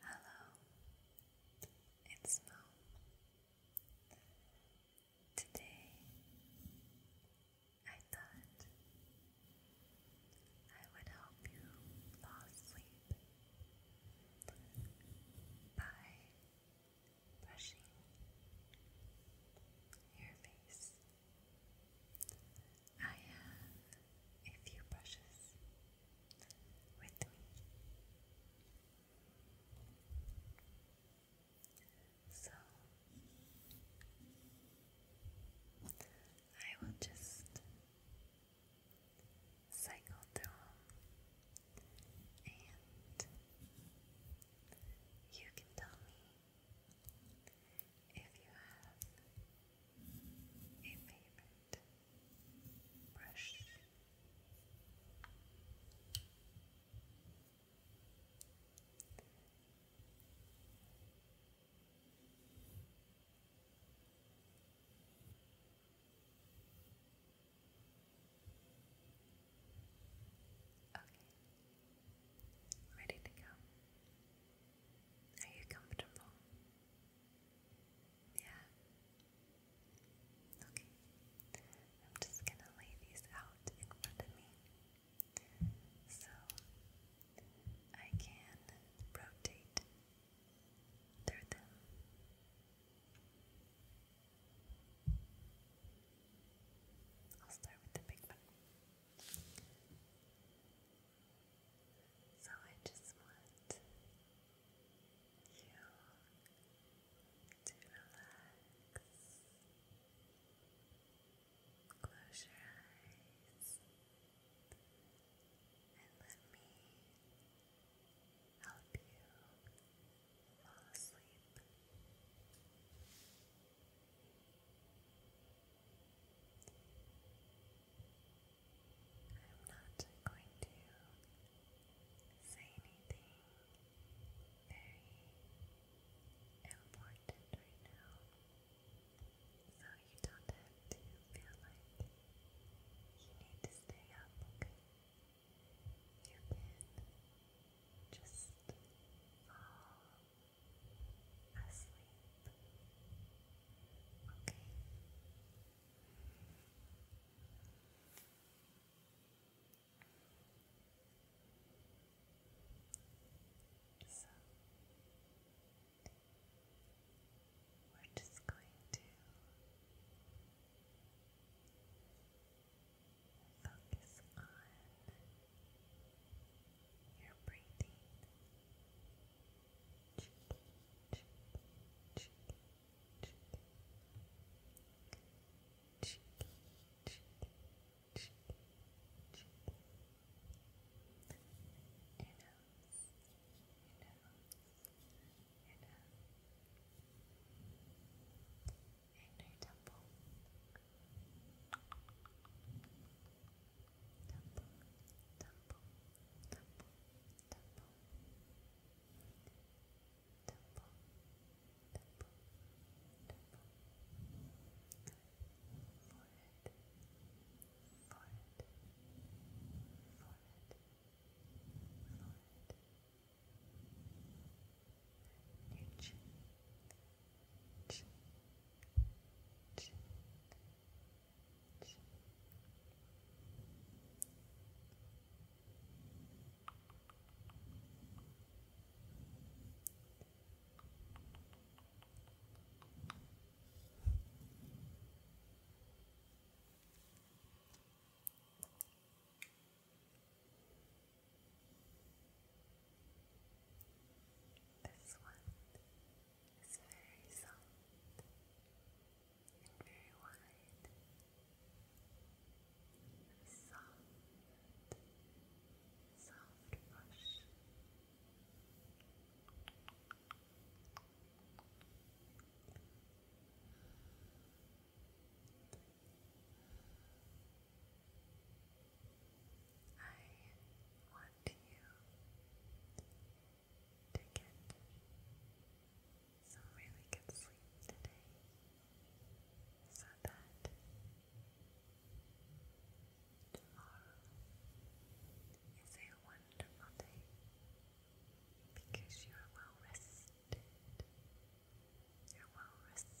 Hello, it's Mo. Today I thought I would help you fall asleep by brushing your face. I have a few brushes with me. So I will just cycle through them and you can tell me if you have a favorite brush. Okay, ready to go. Are you comfortable? Yeah. Okay. I'm just going to lay these out in front of me so I can rotate through them. I'll start with the big one. So I just want to relax. Close your eyes and let me help you fall asleep. I'm not going to say anything very important right now, so you don't have to feel like you need to stay up, You can just fall asleep, okay? So we're just going to focus on your breathing and her temple. Temple, temple, temple, temple, temple, temple, temple, forehead, forehead, forehead, forehead, your chin, chin, chin, this one is very soft very wide, soft, soft brush. I want you to get some really good sleep today so that tomorrow is a wonderful day because you are well rested. You're well rested.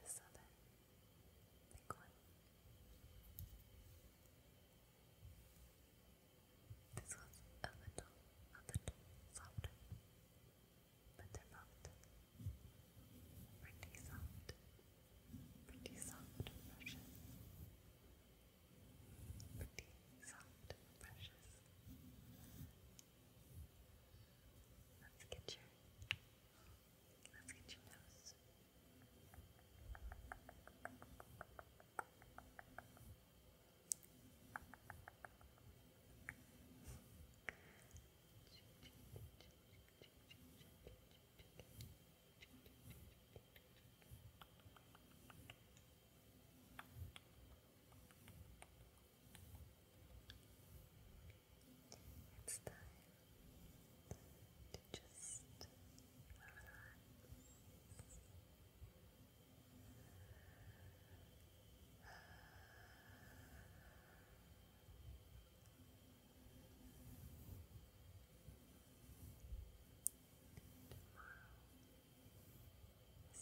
Let's try this other big one. This one's a little, a little softer, but they're both pretty soft, pretty soft brushes, pretty soft brushes. Let's get your let's get your nose. It's time to just relax.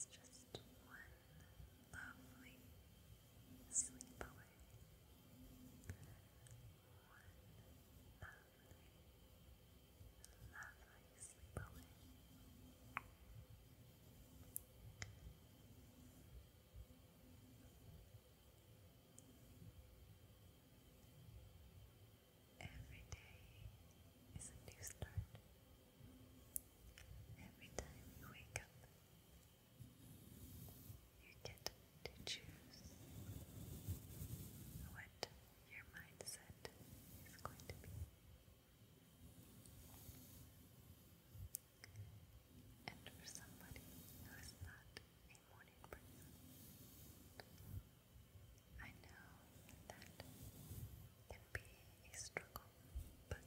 Tomorrow just one lovely sleep One lovely, lovely sleep Every day is a new start. Every time you wake up, you get to choose what your mindset is going to be. And for somebody who is not a morning person, I know that can be a struggle, but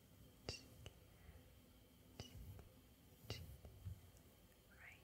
right here. Forehead.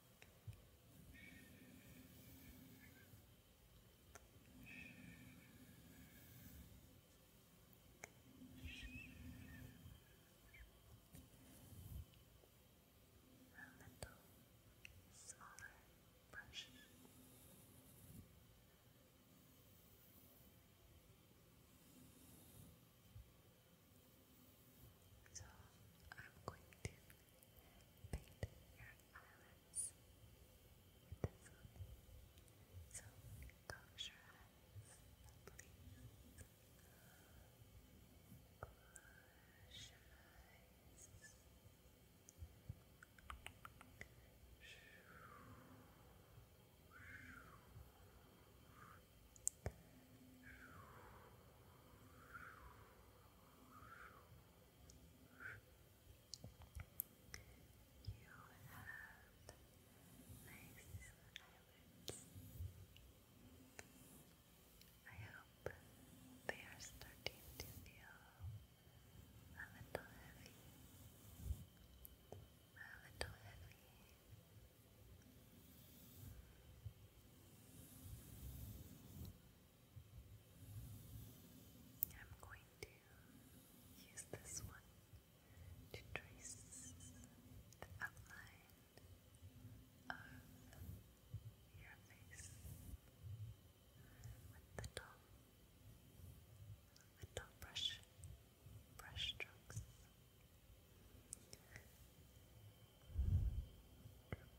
A little smaller brush. Just so I'm going to paint your eyelids with this one. So close your eyes, please. Close your eyes. Shoo, eyelids. I hope they are starting to feel a little heavy. A little heavy. I'm going to use this one to trace the outline of your face with the top, the brush, brush strokes.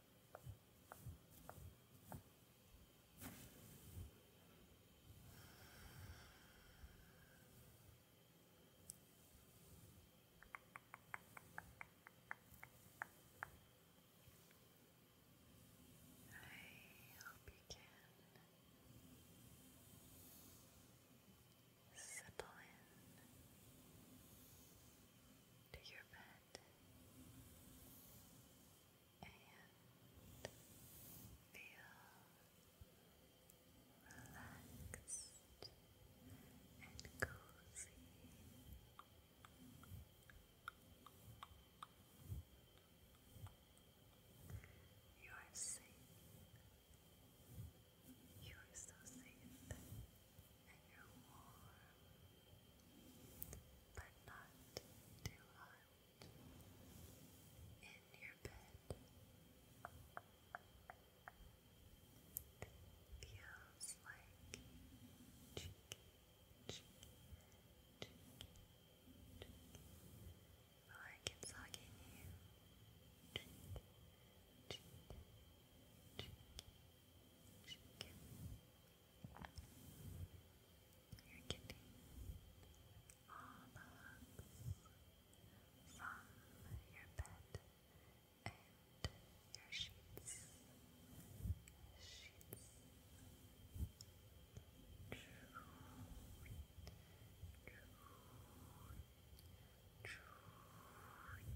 I hope you can settle in to your bed and feel relaxed and cozy. You are safe. You are so safe and you're warm, but not too hot in your bed. Feels like cheeky, cheeky, cheeky, cheeky. you. Shake. You're getting all the hugs from your bed and your sheets. Sheets. True. True. True.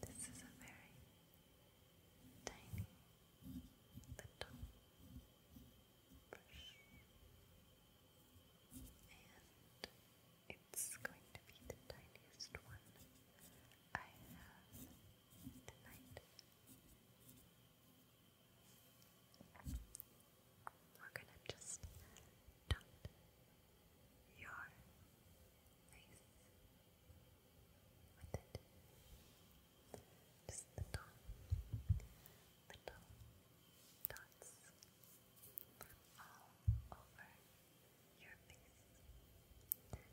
This is a very tiny little brush, and it's going to be the tiniest one I have tonight. We're gonna just dot your face with it. Just little, little dots all over your face. Just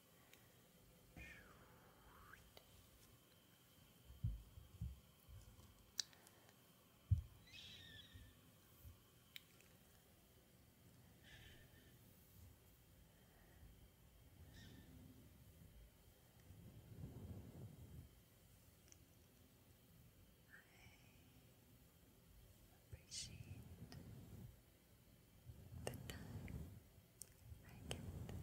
I appreciate the time I give my family, even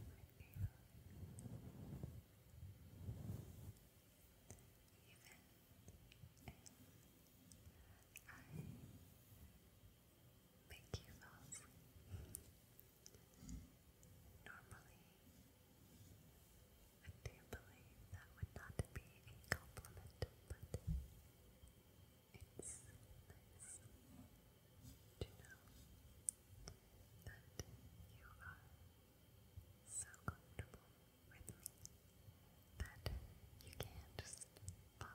I make you fall asleep. Normally, I do believe that would not be a compliment, but it's nice to know that you are so comfortable with me that you can just fall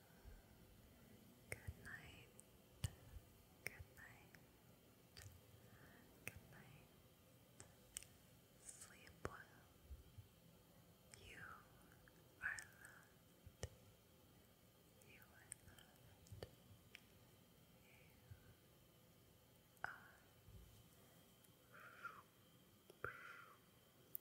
Good night. Good night. Good night. Sleep well. You are loved. You are loved. You are